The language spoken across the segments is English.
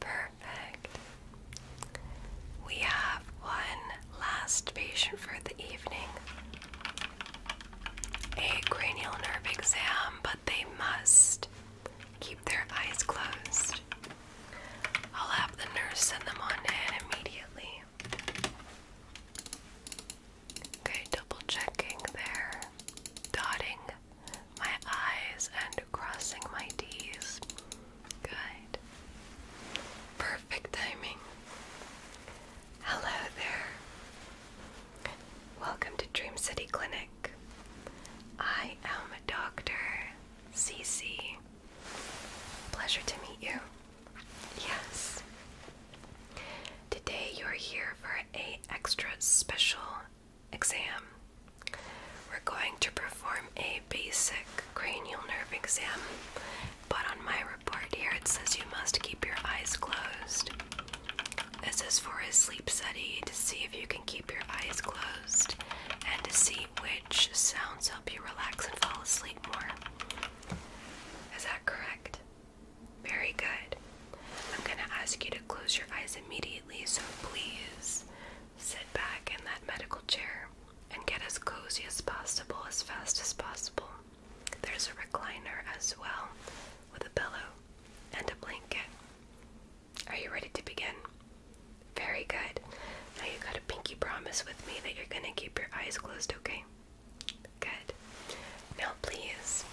Perfect. We have one last patient for the evening. A cranial nerve exam, but they must keep their eyes closed. I'll have the nurse send them on in immediately. Okay, double checking there. Dotting my eyes and crossing my T's. Good. Perfect timing. Hello there. Welcome to Dream City Clinic. I am Dr. Cece. Pleasure to meet you. Yes. Today you're here for a extra special exam. We're going to perform a basic cranial nerve exam, but on my report here it says you must keep your eyes closed. This is for a sleep study to see if you can keep your eyes closed and to see which sounds help you relax and fall asleep more. Is that correct? Very good. I'm going to ask you to close your eyes immediately, so please sit back in that medical chair and get as cozy as possible as fast as possible. There's a recliner as well with a pillow and a blanket. Are you ready to begin? Very good. Now you got a pinky promise with me that you're going to keep your eyes closed, okay? Good. Now, please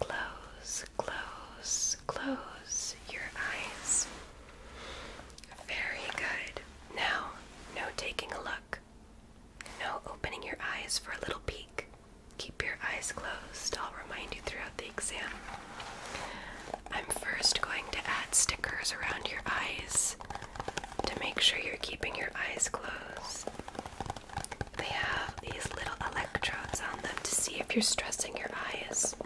Close, close, close your eyes. Very good. Now, no taking a look. No opening your eyes for a little peek. Keep your eyes closed. I'll remind you throughout the exam. I'm first going to add stickers around your eyes to make sure you're keeping your eyes closed. They have these little electrodes on them to see if you're stressing your eyes.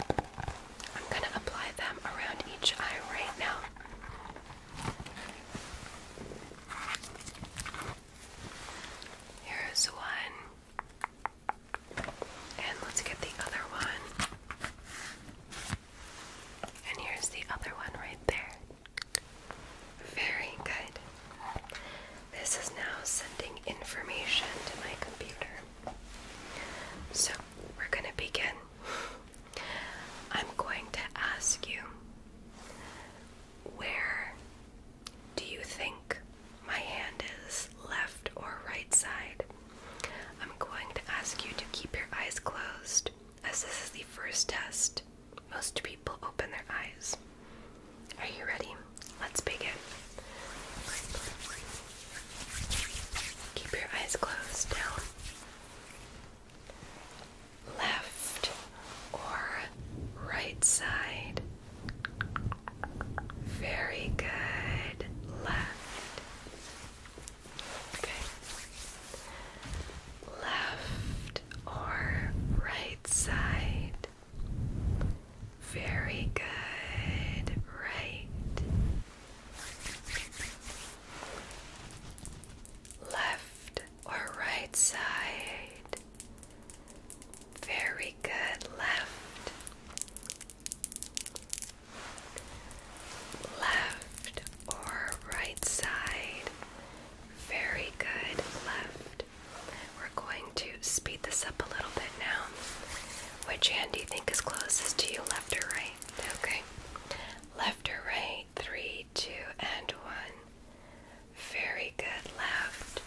I'm going to apply them around each eye right now. Here's one. And let's get the other one. And here's the other one right there. Very good. This is now sending information to my computer. So we're going to begin. I'm going to ask you where do you think my hand is, left or right side? I'm going to ask you to keep your eyes closed as this is the first test. Most people open their eyes. Are you ready? Let's begin. Keep your eyes closed down. Left or right side? Very good. Left. Okay. Left or right side? Very good. Right. Left or right side. Very good. Left. Left or right side. Very good. Left. We're going to speed this up a little bit now. Which hand do you think is closest to you, left or right? Okay. Left or right? Three, two, and one. Very good. Left.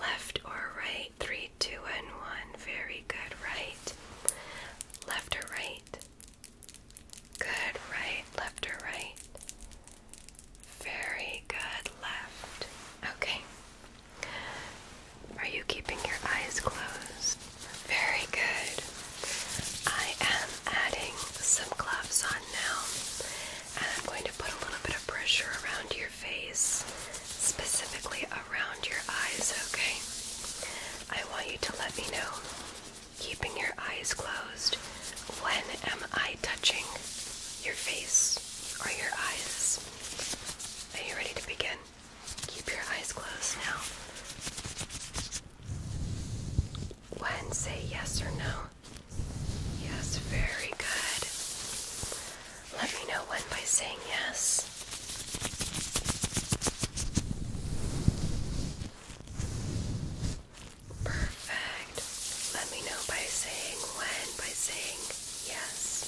Left or right? Three, two, and one. Very good. Right. Left or right? Good. Right. Left or right? Very good. Left. Okay. Are you keeping your eyes closed? Very good. I am adding some gloves on now, and I'm going to put a little bit of pressure around your face, specifically around your eyes, okay? I want you to let me know, keeping your eyes closed, when am I touching your face or your eyes? Are you ready to begin? Keep your eyes closed now. When say yes or no? Yes, very good. Let me know when by saying yes. Perfect. Let me know by saying when, by saying yes.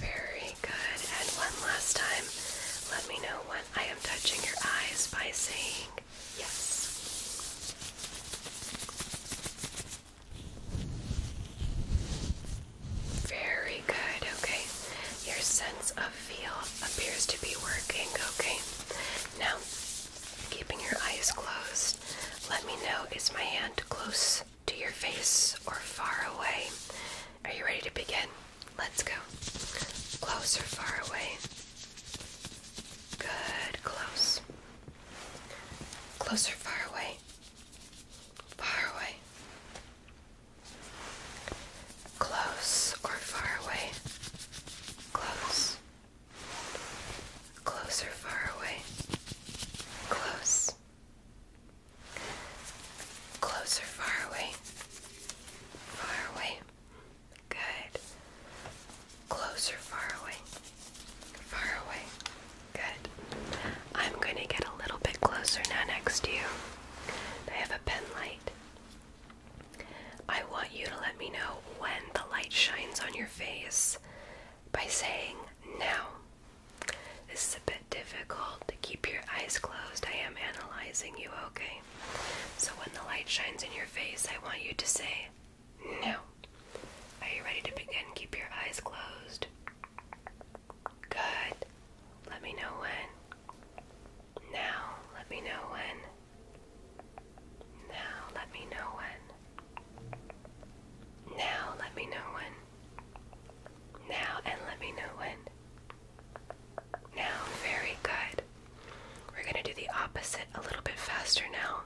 Very good. And one last time, let me know when I am touching your eyes by saying yes. Very good, okay. Your sense of feel appears to be working, okay. Now, keeping your eyes closed, let me know is my hand close to your face or far away? Are you ready to begin? Let's go. Closer, far away? Good, close. Close far away? Far away. Close or far away? Close. Closer, far away? Close. Closer, far away? Far away. Good. Close far away? Far away. Good. I'm going to get a little bit closer now next to you. I have a pen light. I want you to let me know when the light shines on your face by saying now. This is a bit difficult to keep your eyes closed. I am analyzing you, okay? So when the light shines in your face, I want you to say now. Are you ready to begin? Keep your eyes closed. Good. Let me know when. Now let me know when. Now let me know when. Now let me know when. Now and let me know when. Now, very good. We're going to do the opposite a little bit faster now.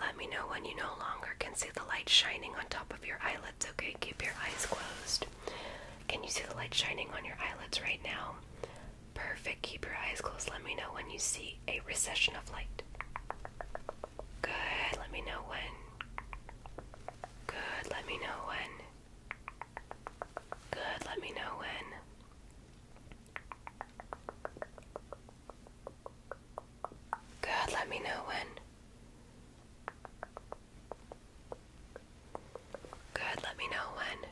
Let me know when you no longer can see the light shining on top of your eyelids, okay? Keep your eyes closed. Can you see the light shining on your eyelids right now? Perfect. Keep your eyes closed. Let me know when you see a recession of light. Good. Let me know when. Good. Let me know when. Good. Let me know when. Good. Let me know when. Good, let me know when.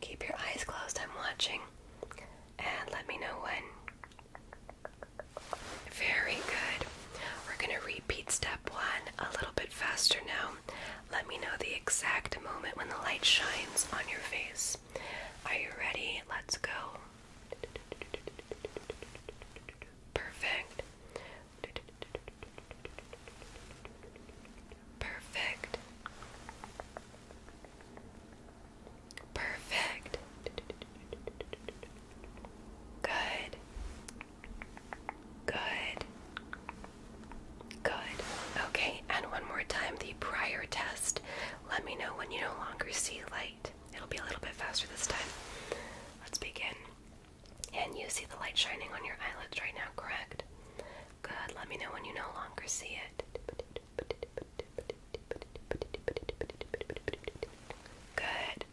Keep your eyes closed, I'm watching. And let me know when. Very good. We're going to repeat step one a little bit faster now. Let me know the exact moment when the light shines on your face. Are you ready? Let's go. Perfect. Perfect. Perfect. Good. Good. Good. Okay, and one more time the prior test. Let me know when you no longer see light. It'll be a little bit faster this time. Let's begin. And you see the light shining on your eyelids right now, correct? Good. Let me know when you no longer see it. Good.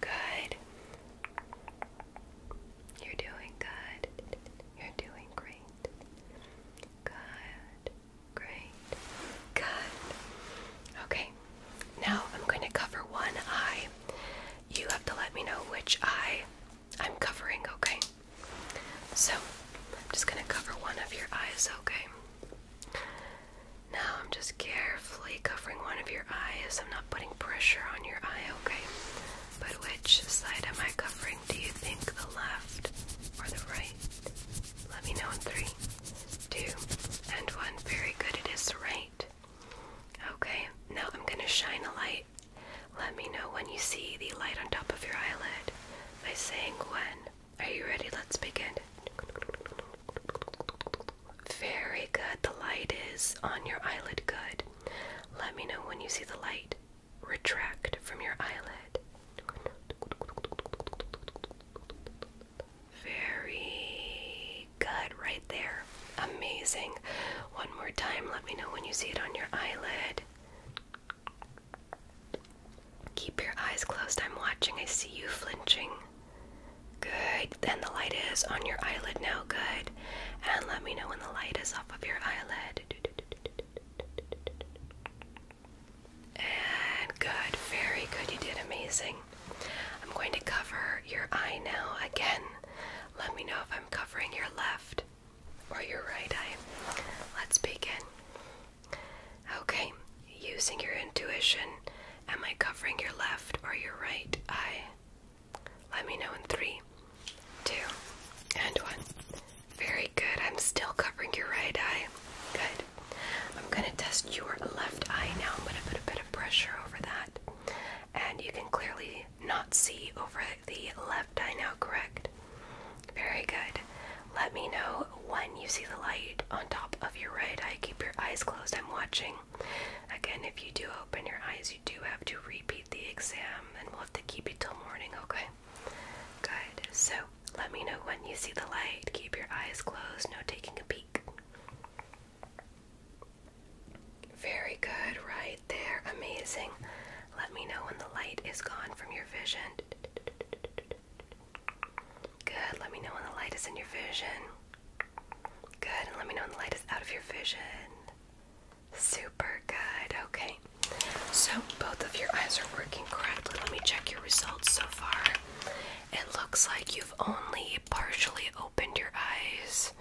Good. You're doing good. You're doing great. Good. Great. Good. Okay. Now I'm going to cover one eye. You have to let me know which eye I'm covering, okay? So, I'm just going to cover one of your eyes, okay? Now I'm just carefully covering one of your eyes. I'm not putting pressure on your eye, okay? But which side am I covering? Do you think the left or the right? Let me know in three, two, and one. Very good. It is right. Okay, now I'm going to shine a light. Let me know when you see the light on top of your eyelid by saying when. Are you ready? Let's begin. Very good. The light is on your eyelid. Good. Let me know when you see the light retract from your eyelid. Very good, right there. Amazing. One more time, let me know when you see it on your eyelid. Keep your eyes closed, I'm watching. I see you flinching. Good. Then the light is on your eyelid now. Good. And let me know when the light is off of your eyelid. And good, very good. You did amazing. I'm going to cover your eye now again. Let me know if I'm covering your left or your right eye. Let's begin. Okay, using your intuition, am I covering your left or your right eye? Let me know in three, two, and one. Very good. I'm still covering your right eye. Good. I'm going to test your left eye now. I'm going to put a bit of pressure over that. And you can clearly not see over the left eye now, correct? Very good. Let me know when you see the light on top of your right eye. Keep your eyes closed. I'm watching. Again, if you do open your eyes, you do have to repeat the exam and we'll have to keep it till morning, okay? Good. So let me know when you see the light. Keep your eyes closed, no taking a peek. Very good, right there. Amazing. Let me know when the light is gone from your vision. Good. Let me know when the light is in your vision. Good. And let me know when the light is out of your vision. Super good. Okay. So both of your eyes are working correctly. Let me check your results so far. It looks like you've only partially opened your eyes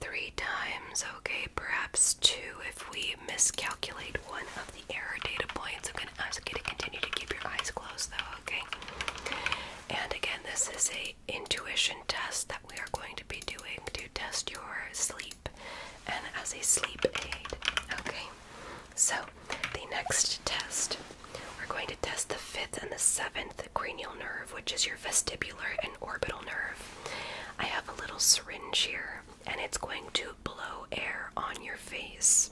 three times, okay? Perhaps two if we miscalculate one of the error data points. I'm gonna ask you to continue to keep your eyes closed though, okay? And again, this is a intuition test that we are going to be doing to test your sleep and as a sleep aid. Okay. So the next test, we're going to test the fifth and the seventh cranial nerve, which is your vestibular and orbital nerve. I have a little syringe here, and it's going to blow air on your face.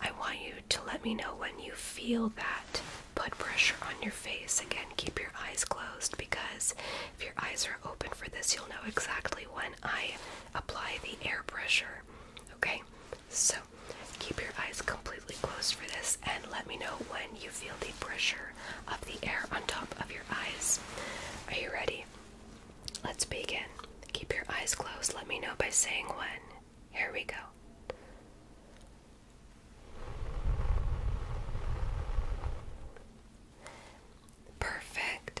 I want you to let me know when you feel that. Put pressure on your face. Again, keep your eyes closed because if your eyes are open for this, you'll know exactly when I apply the air pressure. Okay, so keep your eyes completely closed for this and let me know when you feel the pressure of the air on top of your eyes. Are you ready? Let's begin. Keep your eyes closed. Let me know by saying when. Here we go. Perfect.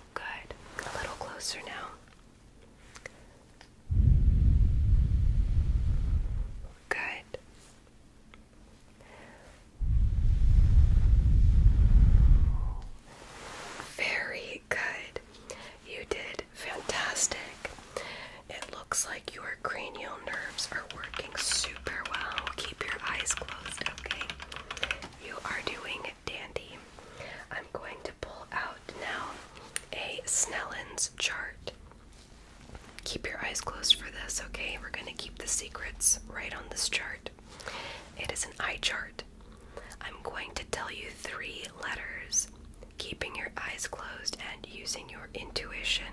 Good. A little closer now. Good. Very good. You did fantastic. It looks like your cranial nerves are working super well. Keep your eyes closed, okay? You are doing dandy. I'm going to pull out now a Snellen's chart. Keep your eyes closed for this, okay? We're going to keep the secrets right on this chart. It is an eye chart. I'm going to tell you three letters, keeping your eyes closed and using your intuition.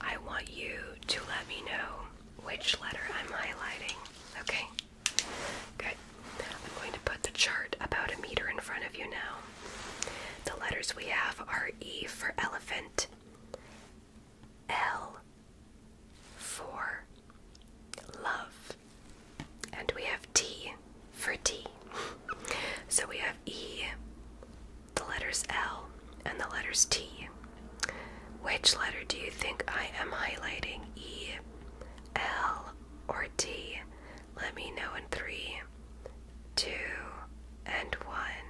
I want you to let me know which letter I'm highlighting, okay? Okay, I'm going to put the chart about a meter in front of you now. The letters we have are E for elephant, L for love, and we have T for T. so we have E, the letters L, and the letters T. Which letter do you think I am highlighting? E, L, or T? Let me know in three, two, and one.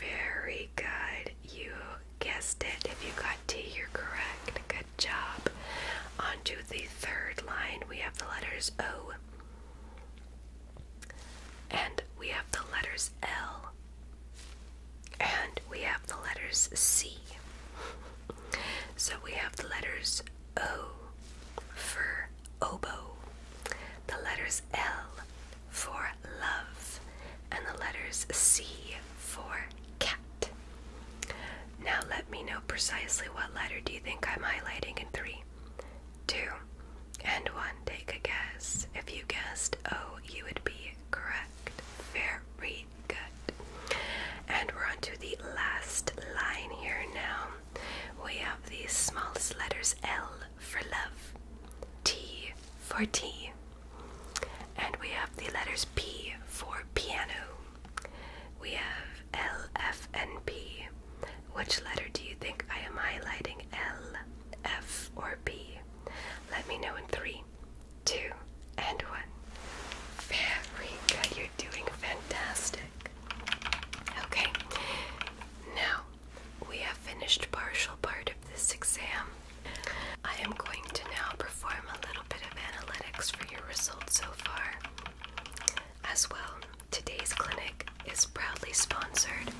Very good. You guessed it. If you got T, you're correct. Good job. On to the third line, we have the letters O. And we have the letters L. And we have the letters C. so we have the letters O for oboe, the letters L for love, and the letters C for cat. Now let me know precisely what letter do you think I'm highlighting in three, two, and one. Take a guess. If you guessed O, you would be correct. Very good. And we're on to the last line here now. We have these smallest letters L for love, T for tea, and we have the letters P for piano. We have L, F, and P. Which letter do you think I am highlighting? L, F, or P? Let me know in three, two, and one. Very good. You're doing fantastic. Okay, now we have finished partial part of this exam. I am going to now perform a little bit of analytics for your results so far. As well, today's clinic is proudly sponsored,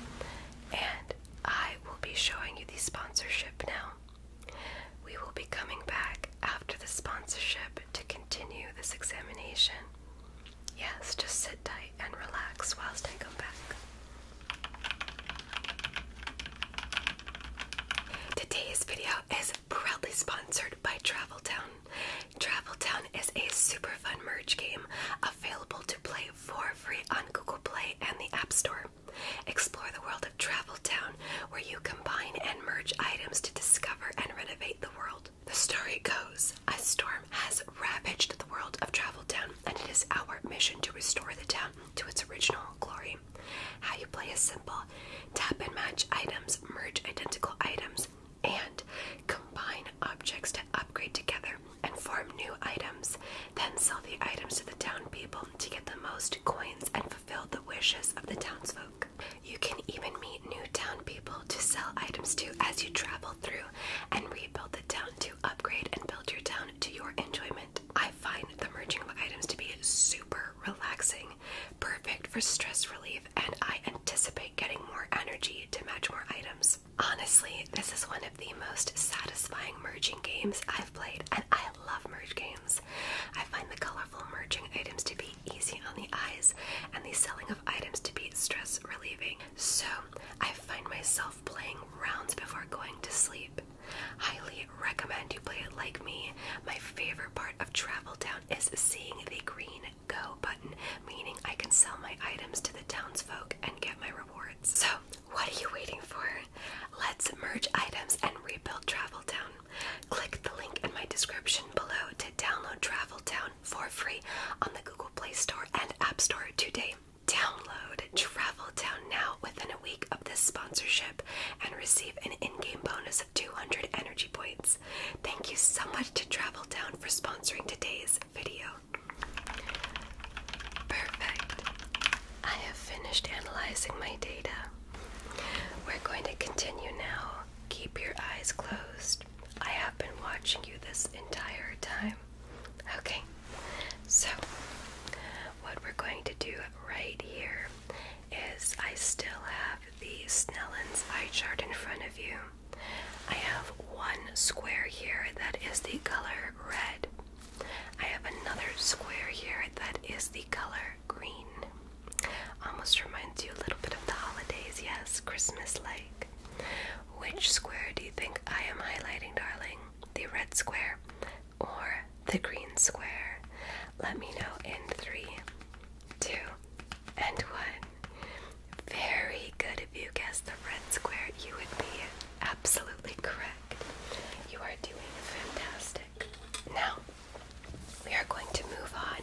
and I will be showing you the sponsorship now. We will be coming back after the sponsorship to continue this examination. Yes, just sit tight and relax whilst I come back. Today's video is proudly sponsored by Traveltown. Traveltown is a super fun merge game available to play for free on Google Play and the App Store. Explore the world of Travel Town, where you combine and merge items to discover and renovate the world. The story goes a storm has ravaged the world of Travel Town, and it is our mission to restore the town to its original glory. How you play is simple tap and match items, merge identical items, and combine objects to upgrade together and form new items. Then sell the items to the town people to get the most coins and fulfill the wishes of the townsfolk. You can even meet new town people to sell items to as you travel through and rebuild the town to upgrade and build your town to your enjoyment. I find the merging of items to be super relaxing, perfect for stress relief, and I anticipate getting more energy to match more items. Honestly, this is one of the most satisfying merging games I've played, and I love merge games. I find the colorful merging items to be easy on the eyes and the selling of items to be stress relieving. So I find myself playing rounds before going to sleep. Highly recommend you play it like me. My favorite part of Travel Town is seeing the green go button, meaning I can sell my items to the townsfolk and get my rewards. So what are you waiting for? Let's merge items and rebuild Travel Town. Click the link in my description below to download Travel Town for free on the Google Play Store and App Store today. Download Travel Town now within a week of this sponsorship and receive an in-game bonus of 200 energy points. Thank you so much to Travel Town for sponsoring today's video. Perfect. I have finished analyzing my data. We're going to continue now. Keep your eyes closed. I have been watching you this entire time. Okay, so what we're going to do right here is I still have the Snellen's eye chart in front of you. I have one square here that is the color red. I have another square here that is the color green. Almost reminds you a little bit of the holidays, yes, Christmas like. Which square do you think I am highlighting, darling? The red square or the green square? Let me know in three, two, and one. Very good. If you guessed the red square, you would be absolutely correct. You are doing fantastic. Now, we are going to move on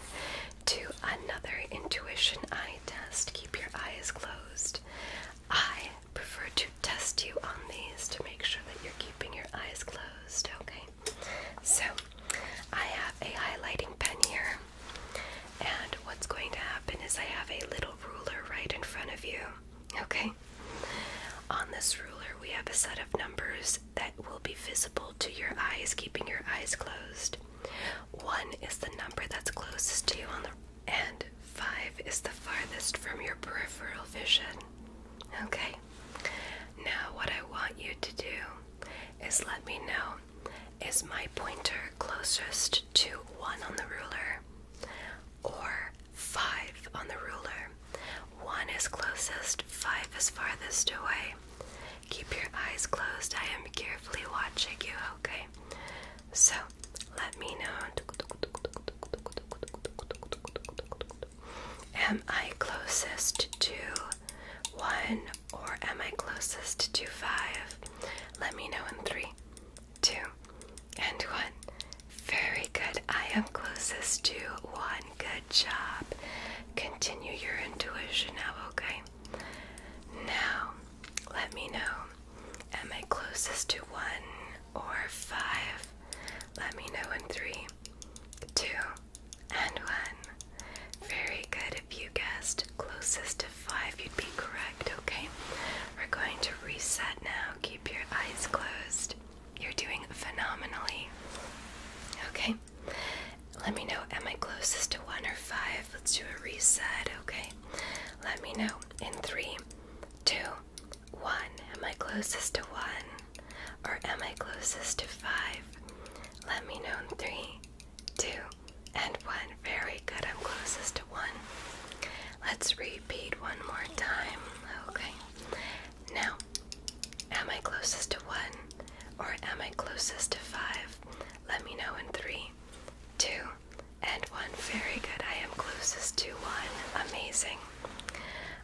to another intuition eye test. Keep your eyes closed. I prefer to test you on these to make sure that you're keeping your eyes closed, okay? So, I have a highlighting pen here, and what's going to happen is I have a little ruler right in front of you. Okay. On this ruler, we have a set of numbers that will be visible to your eyes, keeping your eyes closed. One is the number that's closest to you on the and five is the farthest from your peripheral vision. Okay. Now what I want you to do is let me know is my pointer closest to one on the ruler? or five on the ruler. One is closest, five is farthest away. Keep your eyes closed. I am carefully watching you, okay? So, let me know. Am I closest to one or am I closest to five? Let me know in three, two, and one. Very good. I am closest to one. Good job. Continue your intuition now, okay? Now, let me know. Am I closest to one or five? Let me know in three, two, and one. Very good. If you guessed closest to five, you'd be correct, okay? We're going to reset now. Keep your eyes closed. You're doing phenomenally. Okay. Let me know, am I closest to one or five? Let's do a reset, okay? Let me know in three, two, one. Am I closest to one? Or am I closest to five? Let me know in three, two, and one. Very good, I'm closest to one. Let's repeat one more time, okay? Now, Am I closest to one or am I closest to five? Let me know in three, two, and one. Very good. I am closest to one. Amazing.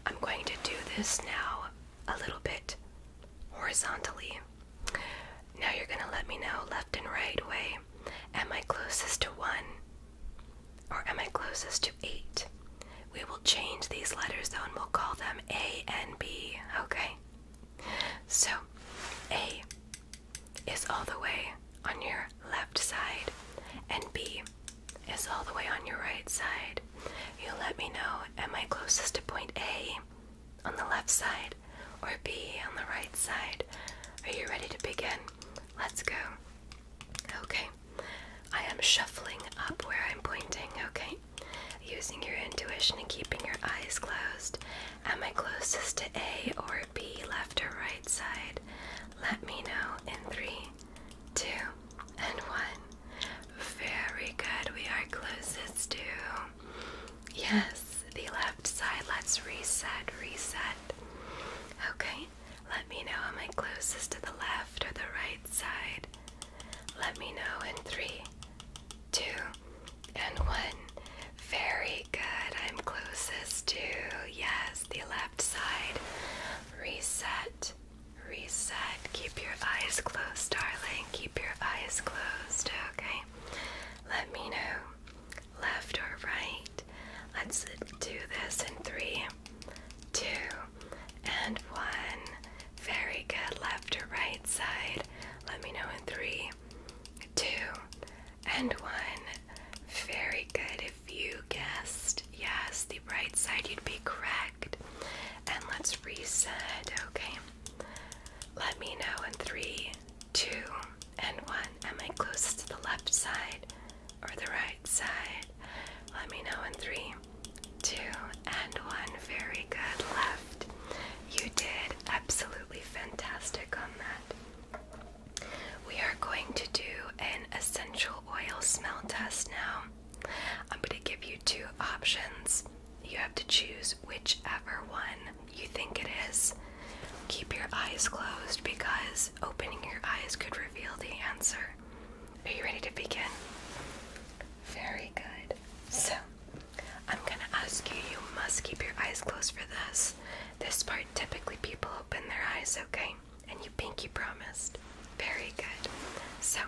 I'm going to do this now a little bit horizontally. Now you're going to let me know left and right way. Am I closest to one or am I closest to 8? We will change these letters though and we'll call them A and B, okay? So, A is all the way on your left side, and B is all the way on your right side. You let me know, am I closest to point A on the left side or B on the right side? Are you ready to begin? Let's go. Okay, I am shuffling up where I'm pointing, okay? Using your intuition and keeping your eyes closed. Am I closest to A or B, left or right side? Let me know in three, two, and one. Very good. We are closest to. Yes, the left side. Let's reset, reset. Okay, let me know am I closest to the left or the right side? Let me know in three, two, and one. Very good. I'm closest to, yes, the left side. Reset, reset. Keep your eyes closed, darling. Keep your eyes closed, okay? Let me know left or right. Let's do this in three, two, and one. Very good. Left or right side. Let me know in three, two, and one. Very good. If you guessed yes, the right side, you'd be correct. And let's reset, okay? Let me know in three, two, and one. Am I closest to the left side or the right side? Let me know in three, two, and one. Very good. Left. You did absolutely fantastic on that. We are going to do an essential oil smell test now. I'm going to give you two options. You have to choose whichever one you think it is. Keep your eyes closed because opening your eyes could reveal the answer. Are you ready to begin? Very good. So, I'm gonna ask you, you must keep your eyes closed for this. This part, typically people open their eyes, okay? And you pinky promised. Very good. So,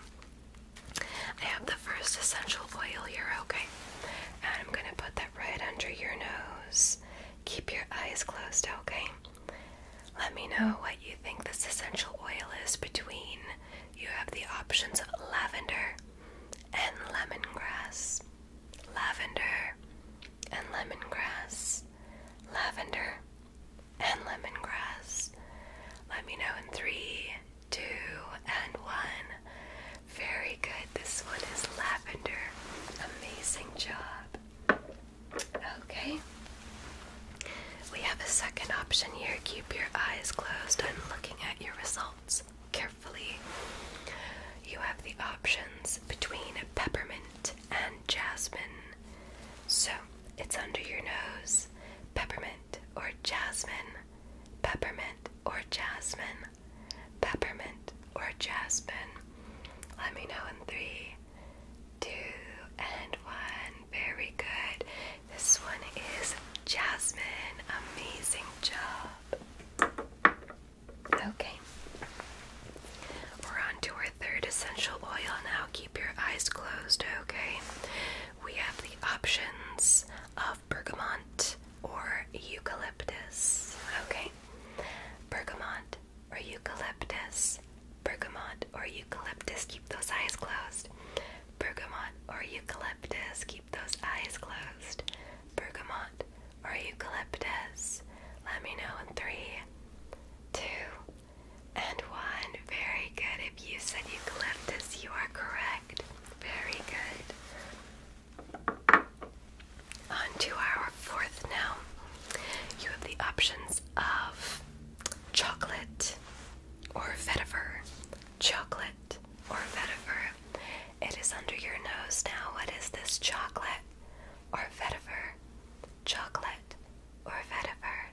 I have the first essential oil here, okay? And I'm gonna put that right under your nose. Keep your eyes closed, okay? Let me know what you think this essential oil is between. You have the options of lavender and lemongrass. Lavender and lemongrass. Lavender and lemongrass. Let me know in three, two, and one. Very good. This one is lavender. Amazing job. Okay. We have a second option here. Keep your eyes closed I'm looking at your results carefully. You have the options between peppermint and jasmine. So it's under your nose peppermint or jasmine, peppermint or jasmine, peppermint or jasmine. Let me know in three, two, and one. Very good. This one is Jasmine. Amazing job. Okay. We're on to our third essential oil now. Keep your eyes closed, okay? We have the options of bergamot or eucalyptus. Okay. Bergamot or eucalyptus. Bergamot or eucalyptus, keep those eyes closed. Bergamot or eucalyptus, keep those eyes closed. Bergamot or eucalyptus. Let me know in three, two, and one. Very good. If you said eucalyptus, you are correct. Very good. On to our fourth now. You have the options of chocolate or vetiver. Chocolate or vetiver. It is under your nose now. What is this? Chocolate or vetiver? Chocolate or vetiver?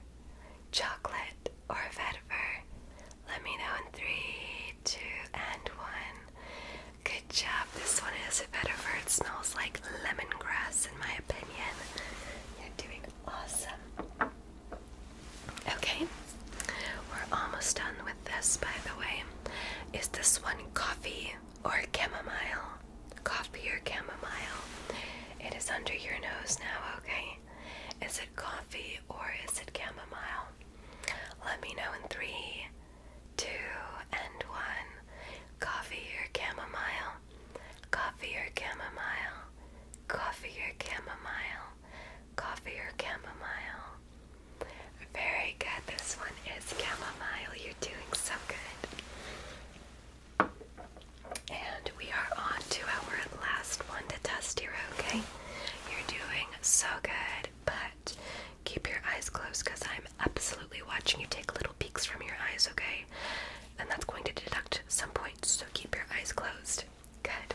Chocolate or vetiver? Let me know in three, two, and one. Good job. This one is a vetiver. It smells like lemongrass, in my opinion. You're doing Awesome. Okay, we're almost done with this, by the way. Is this one coffee or chamomile? Coffee or chamomile? It is under your nose now, okay? Is it coffee or is it chamomile? Let me know in three, two, and one. Coffee or chamomile? Coffee or chamomile, coffee or chamomile, coffee or chamomile. Very good. This one is chamomile. You're doing so good. And we are on to our last one to test here, okay? You're doing so good, but keep your eyes closed because I'm absolutely watching you take little peeks from your eyes, okay? And that's going to deduct some points so keep your eyes closed. Good.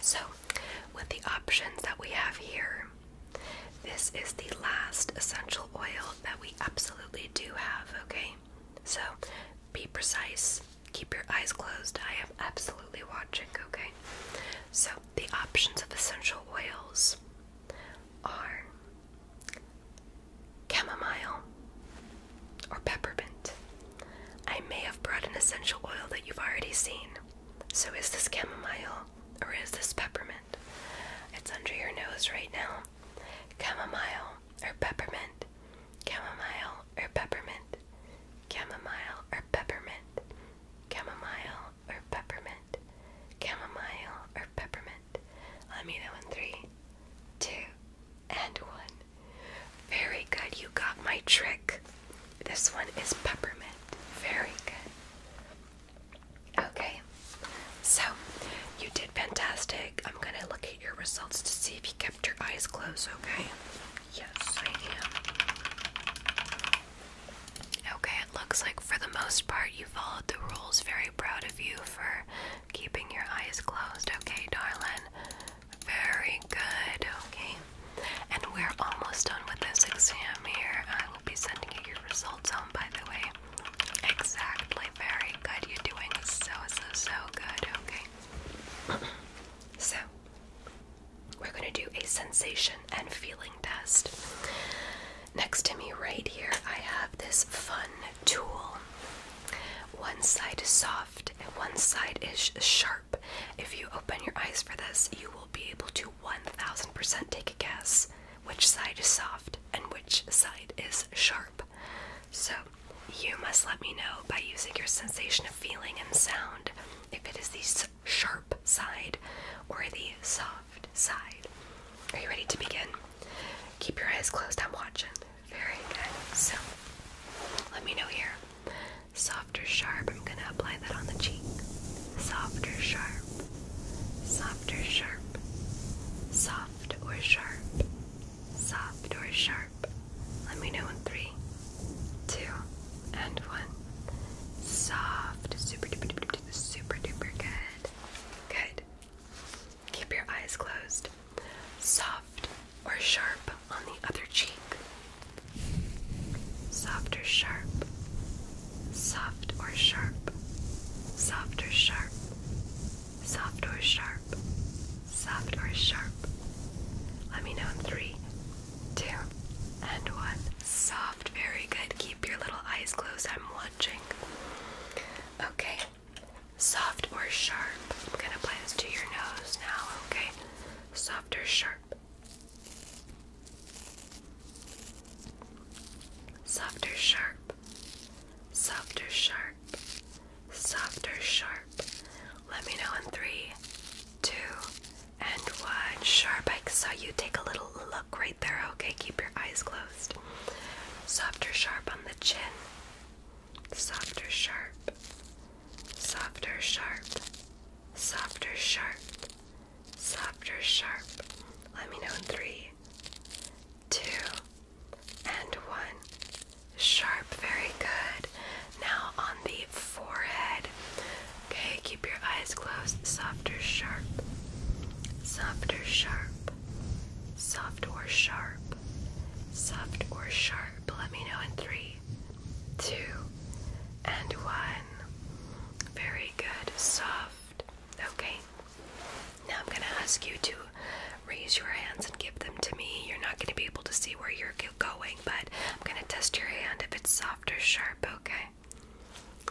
So, with the options that we have here, this is the last essential oil that we absolutely do have, okay? So, be precise, keep your eyes closed. I am absolutely watching, okay? So, the options of essential oils are chamomile, or peppermint. I may have brought an essential oil that you've already seen. So, is this chamomile or is this peppermint? It's under your nose right now. Chamomile or peppermint? Chamomile or peppermint? Chamomile or peppermint? Chamomile or peppermint? Chamomile or peppermint? Let me know in three, two, and one. Very good. You got my trick. This one is peppermint. Very good. Okay. So, you did fantastic. I'm going to look at your results to see if you kept your eyes closed, okay? Yes, I am. Okay, it looks like for the most part you followed the rules. Very proud of you for keeping your eyes closed, okay, darling? Very good, okay? And we're almost done with this exam here. I will be sending you your results home, by the way. Exactly, very good. You're doing so, so, so good, okay? so, we're gonna do a sensation and feeling test. Next to me, right here, I have this fun tool. One side is soft and one side is sharp. If you open your eyes for this, you will be able to 1000% take a guess which side is soft and which side is sharp. So, you must let me know by using your sensation of feeling and sound if it is the sharp side or the soft side. Are you ready to begin? Keep your eyes closed, I'm watching. Very good. So, let me know here. Soft sharp? I'm going to apply that on the cheek. Softer sharp? Softer sharp? Soft or sharp? Soft or sharp? Let me know in three, two, and one. Soft. Super duper duper duper, super duper good. Good. Keep your eyes closed. Soft or sharp on the other cheek. Soft or sharp. Soft or sharp. Soft or sharp. Soft or sharp. Soft or sharp. Let me know in three, two, and one. Soft. Very good. Keep your little eyes closed. I'm watching. Okay. Soft or sharp? I'm gonna apply this to your nose now, okay? Soft or sharp? Soft or sharp? Soft or sharp? Soft or sharp? Let me know in three, two, and one. Sharp. I saw you take a little look right there, okay? Keep your eyes closed. Soft or sharp on the chin? softer, sharp, softer, sharp, softer, sharp, softer, sharp. Let me know in three, two, and one. Sharp, very good. Now on the forehead. Okay, keep your eyes closed. Softer, sharp, softer, sharp, soft or sharp, soft or sharp? Let me know in three, two, and one. Very good, soft. Okay. Now I'm going to ask you to raise your hands and give them to me. You're not going to be able to see where you're going, but I'm going to test your hand if it's soft or sharp, okay?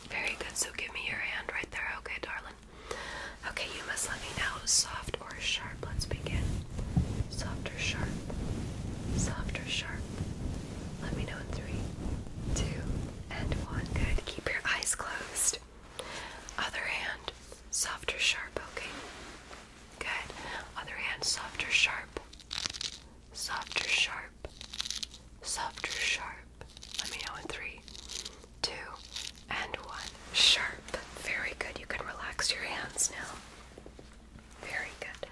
Very good. So give me your hand right there, okay, darling? Okay, you must let me know. Soft or sharp? Let's begin. Soft or sharp? Soft or sharp? Let me know in three, two, and one. Good. Keep your eyes closed. Other hand, soft or sharp? Okay. Good. Other hand, soft or sharp? Soft or sharp? Soft or sharp? Let me know in three, two, and one. Sharp. Very good. You can relax your hands now. Very good.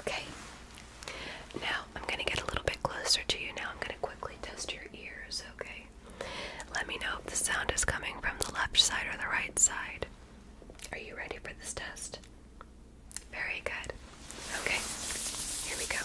Okay. Now, I'm going to get a little bit closer to you now. I'm going to quickly test your ears, okay? Let me know if the sound is coming from the left side or the right side. Are you ready for this test? Very good. Okay, here we go.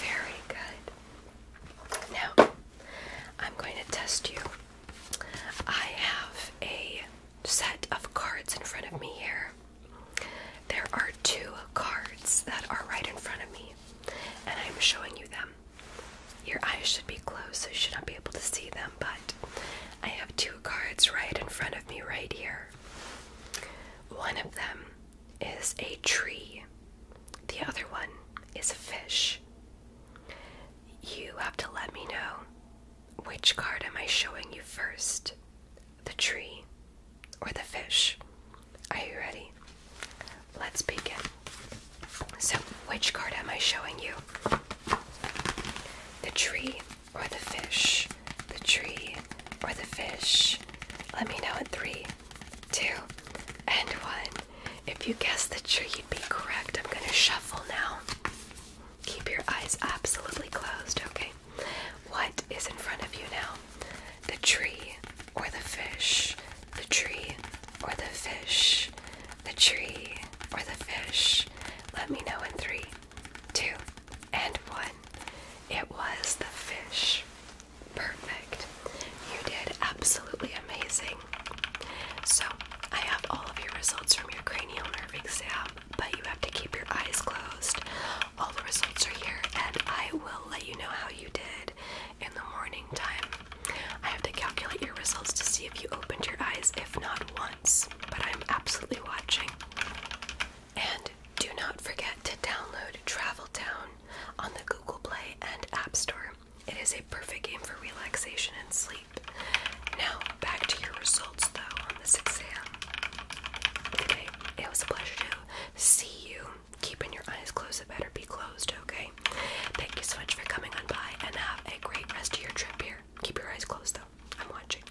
Very good. Now, I'm going to test you. I have a set of cards in front of me here. There are two cards that are right in front of me, and I'm showing you them. Your eyes should be closed, so you should not be able to see them, but I have two cards right in front of me, right here. One of them is a tree, the other one is a fish. You have to let me know which card am I showing you first the tree or the fish. Are you ready? Let's begin. So, which card am I showing you? The tree or the fish? The tree or the fish? Let me know in three, two, and one. If you guessed the tree, you'd be correct. I'm gonna shuffle now. Keep your eyes absolutely closed, okay? What is in front of you now? The tree or the fish? The tree or the fish? The tree or the fish? Let me know in three, two, and one. It was the fish. Perfect. You did absolutely amazing. So, I have all of your results from your cranial nerve exam, but you have to keep your eyes closed. All the results are here, and I will let you know how you did in the morning time. I have to calculate your results to see if you opened your eyes, if not once, but I'm absolutely watching. And do not forget to download Travel Town on the Google Play and App Store. It is a perfect game for relaxation and sleep. Now, back to your results though on this exam. Okay, it was a pleasure to see you. Keeping your eyes closed, it better be closed, okay? Thank you so much for coming on by and have a great rest of your trip here. Keep your eyes closed though. I'm watching.